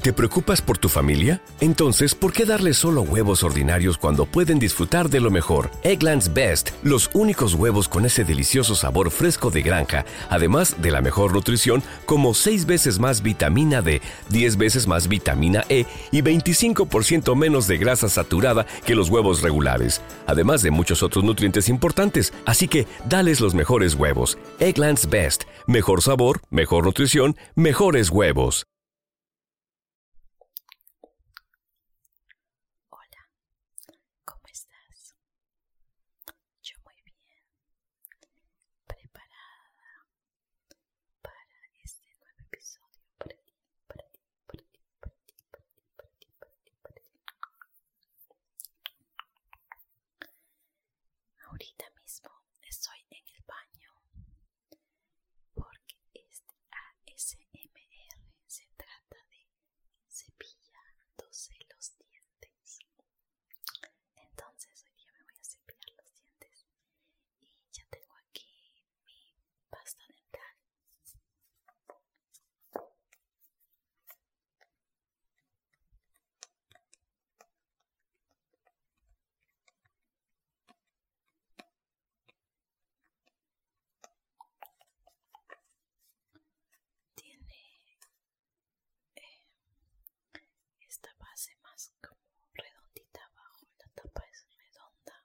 ¿Te preocupas por tu familia? Entonces, ¿por qué darle solo huevos ordinarios cuando pueden disfrutar de lo mejor? Eggland's Best, los únicos huevos con ese delicioso sabor fresco de granja, además de la mejor nutrición, como 6 veces más vitamina D, 10 veces más vitamina E y 25% menos de grasa saturada que los huevos regulares, además de muchos otros nutrientes importantes. Así que, dales los mejores huevos. Eggland's Best, mejor sabor, mejor nutrición mejores huevos. Hola, ¿cómo estás? Yo muy bien, preparada para este nuevo episodio para ti, para ti, para ti, para ti, para ti, para ti, para ti, para ti, para ti. Ahorita mismo estoy en el baño porque este ASMR se trata de cepillándose los dientes. Entonces hoy día me voy a cepillar los dientes y ya tengo aquí mi pasta dental. Tiene eh, esta base más como redondita abajo, la tapa es redonda.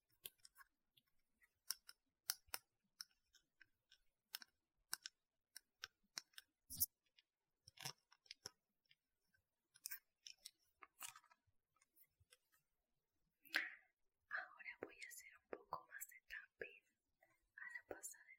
Ahora voy a hacer un poco más de tapping a la pasada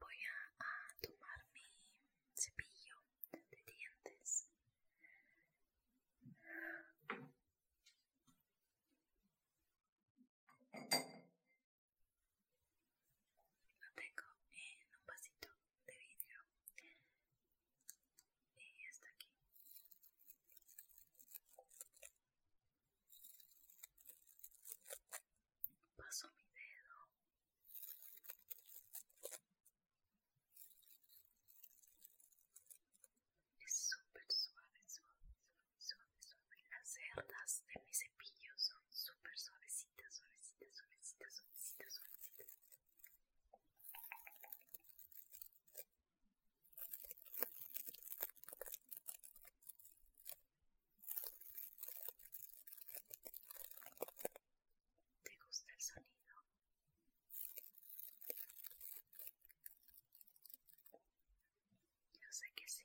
Voy a, tomar mi cepillo de dientes. Lo tengo en un vasito de vídeo y hasta aquí paso mi dedo es súper suave suave suave suave suave las cerdas de mi cepillo son súper suavecitas suavecitas suavecitas suavecitas suavecitas ¿Te gusta el sonido? Yo sé que sí.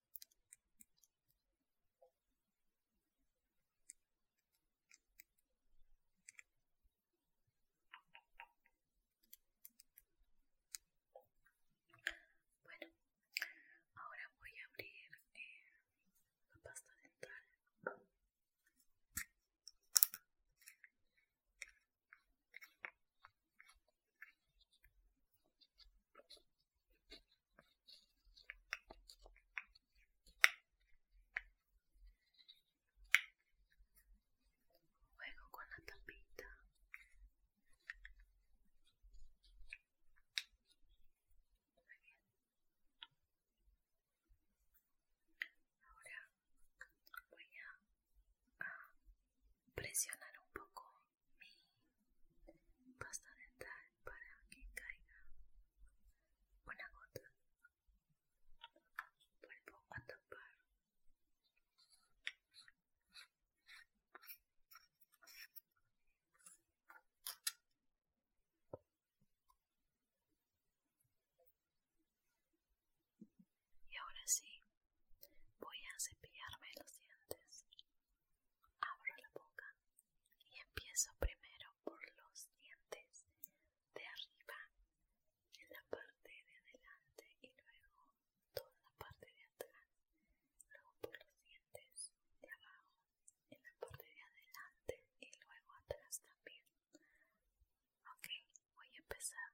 Bueno, ahora voy a abrir eh, la pasta dental. Juego con la tapita. Ahora voy a presionar un poco mi basta dental para que caiga una gota vuelvo a tapar y ahora sí, voy a cepillarme los dientes. Abro la boca y empiezo primero por los dientes de arriba, en la parte de adelante y luego toda la parte de atrás. Luego por los dientes de abajo, en la parte de adelante y luego atrás también. Ok, voy a empezar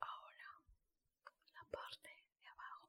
Ahora la parte de abajo.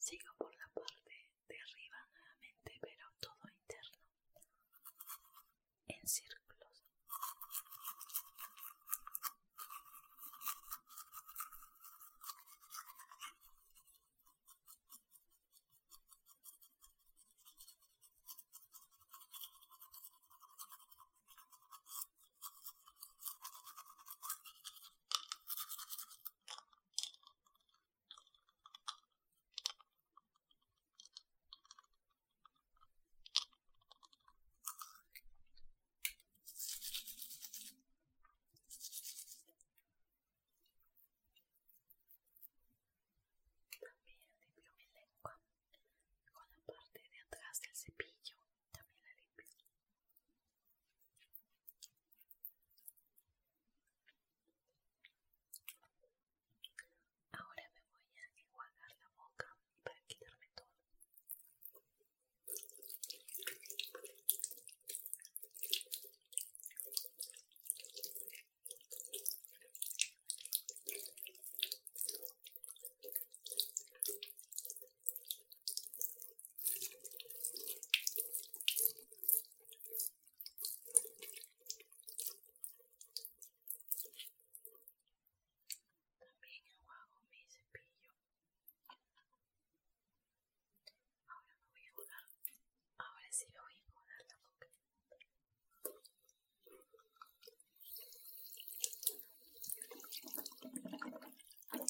Sigo por la parte de arriba nuevamente, pero todo interno, en círculos. También limpió mi lengua con la parte de atrás del cepillo. También la limpio Ahora me voy a enjuagar la boca para quitarme todo. También enjuago mi cepillo. Ahora me voy a jugar. Ahora sí me voy a jugar la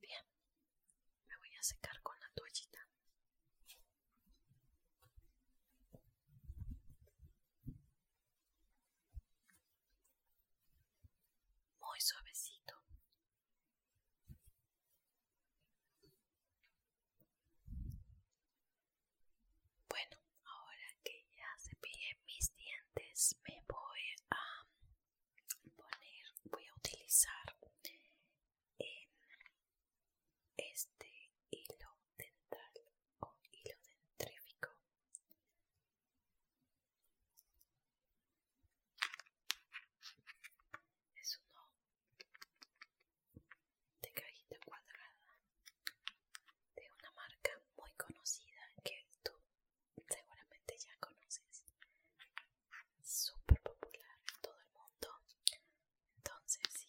Bien, me voy a secar con la toallita muy suavecito. Bueno, ahora que ya cepillé mis dientes, me voy a poner, voy a utilizar este hilo dental o hilo dentrífico es uno de cajita cuadrada de una marca muy conocida que tú seguramente ya conoces. Súper popular en todo el mundo. Entonces sí.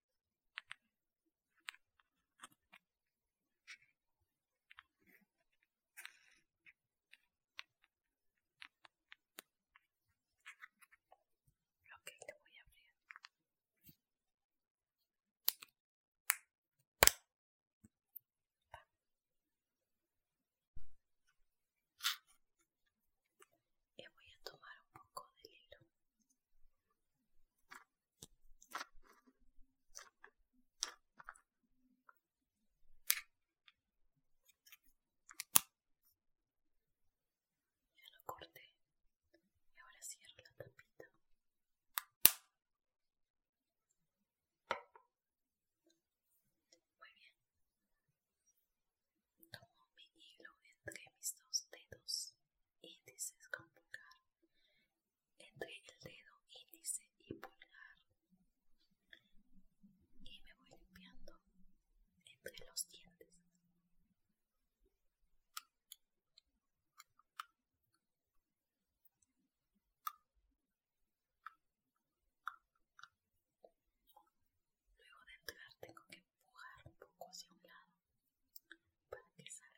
Ok, te voy a abrir. Y voy a tomar un poco de hilo. Ya lo corté y ahora cierro la tapita. Muy bien. Tomo mi hilo entre mis dos dedos y con entre el dedo índice y pulgar y me voy limpiando entre los dientes. Luego de entrar tengo que empujar un poco hacia un lado para que salga.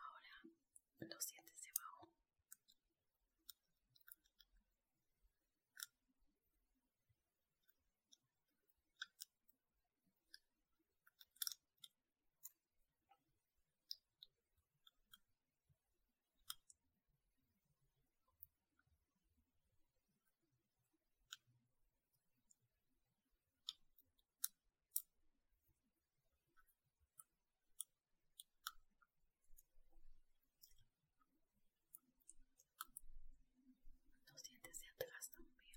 Ahora los dientes de abajo. Los dientes de atrás también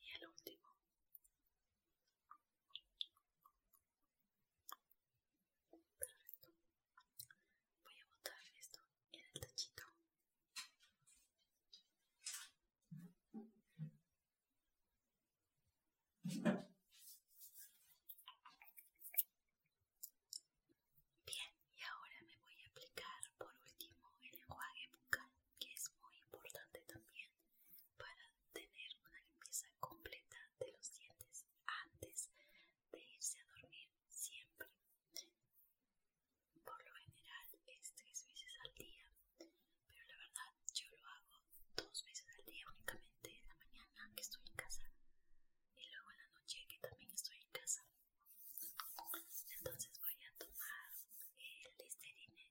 Y el último, Voy a botar esto en el tachito. Bien, y ahora me voy a aplicar por último el enjuague bucal, que es muy importante también para tener una limpieza completa de los dientes antes de irse a dormir siempre. Por lo general es tres veces al día, pero la verdad yo lo hago dos veces al día únicamente en la mañana que estoy en casa y luego en la noche que también estoy en casa. Entonces voy a tomar el listerine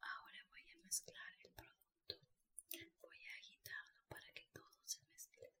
Ahora voy a mezclar el producto. Voy a agitarlo para que todo se mezcle.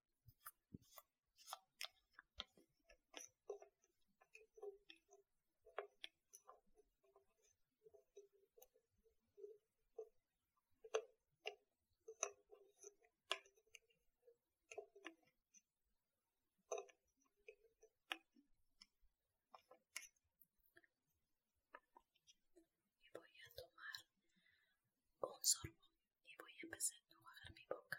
Y voy a tomar un sorbo y voy a empezar a enjuagar mi boca.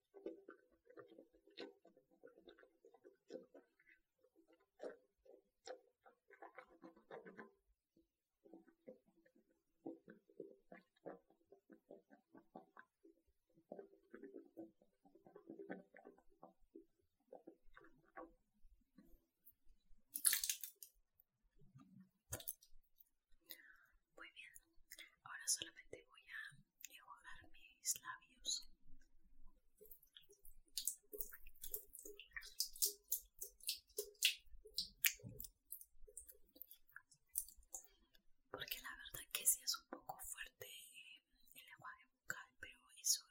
Muy bien, ahora solamente voy a y dar mis labios. Porque la verdad que sí es un poco fuerte el agua de bucal pero eso,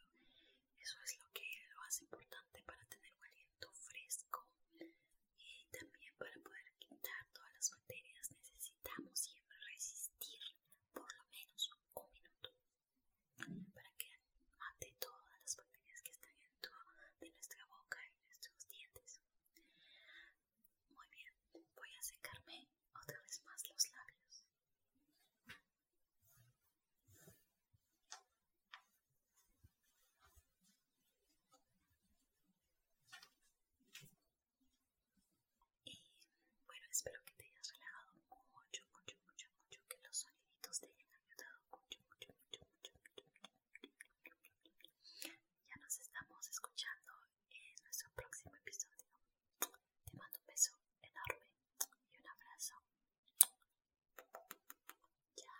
eso es lo que lo hace importante para tener un aliento fresco y también para poder quitar todas las materias necesitamos siempre resistir por lo menos un minuto para que mate todas las bacterias que están dentro de nuestra boca y nuestros dientes. Muy bien, voy a secarme otra vez más los labios. Y bueno, espero que te hayas relajado mucho, mucho, mucho, mucho, que los soniditos te hayan ayudado mucho, mucho, mucho, mucho, mucho. Ya nos estamos escuchando en nuestro próximo episodio. Te mando un beso enorme y un abrazo. chao.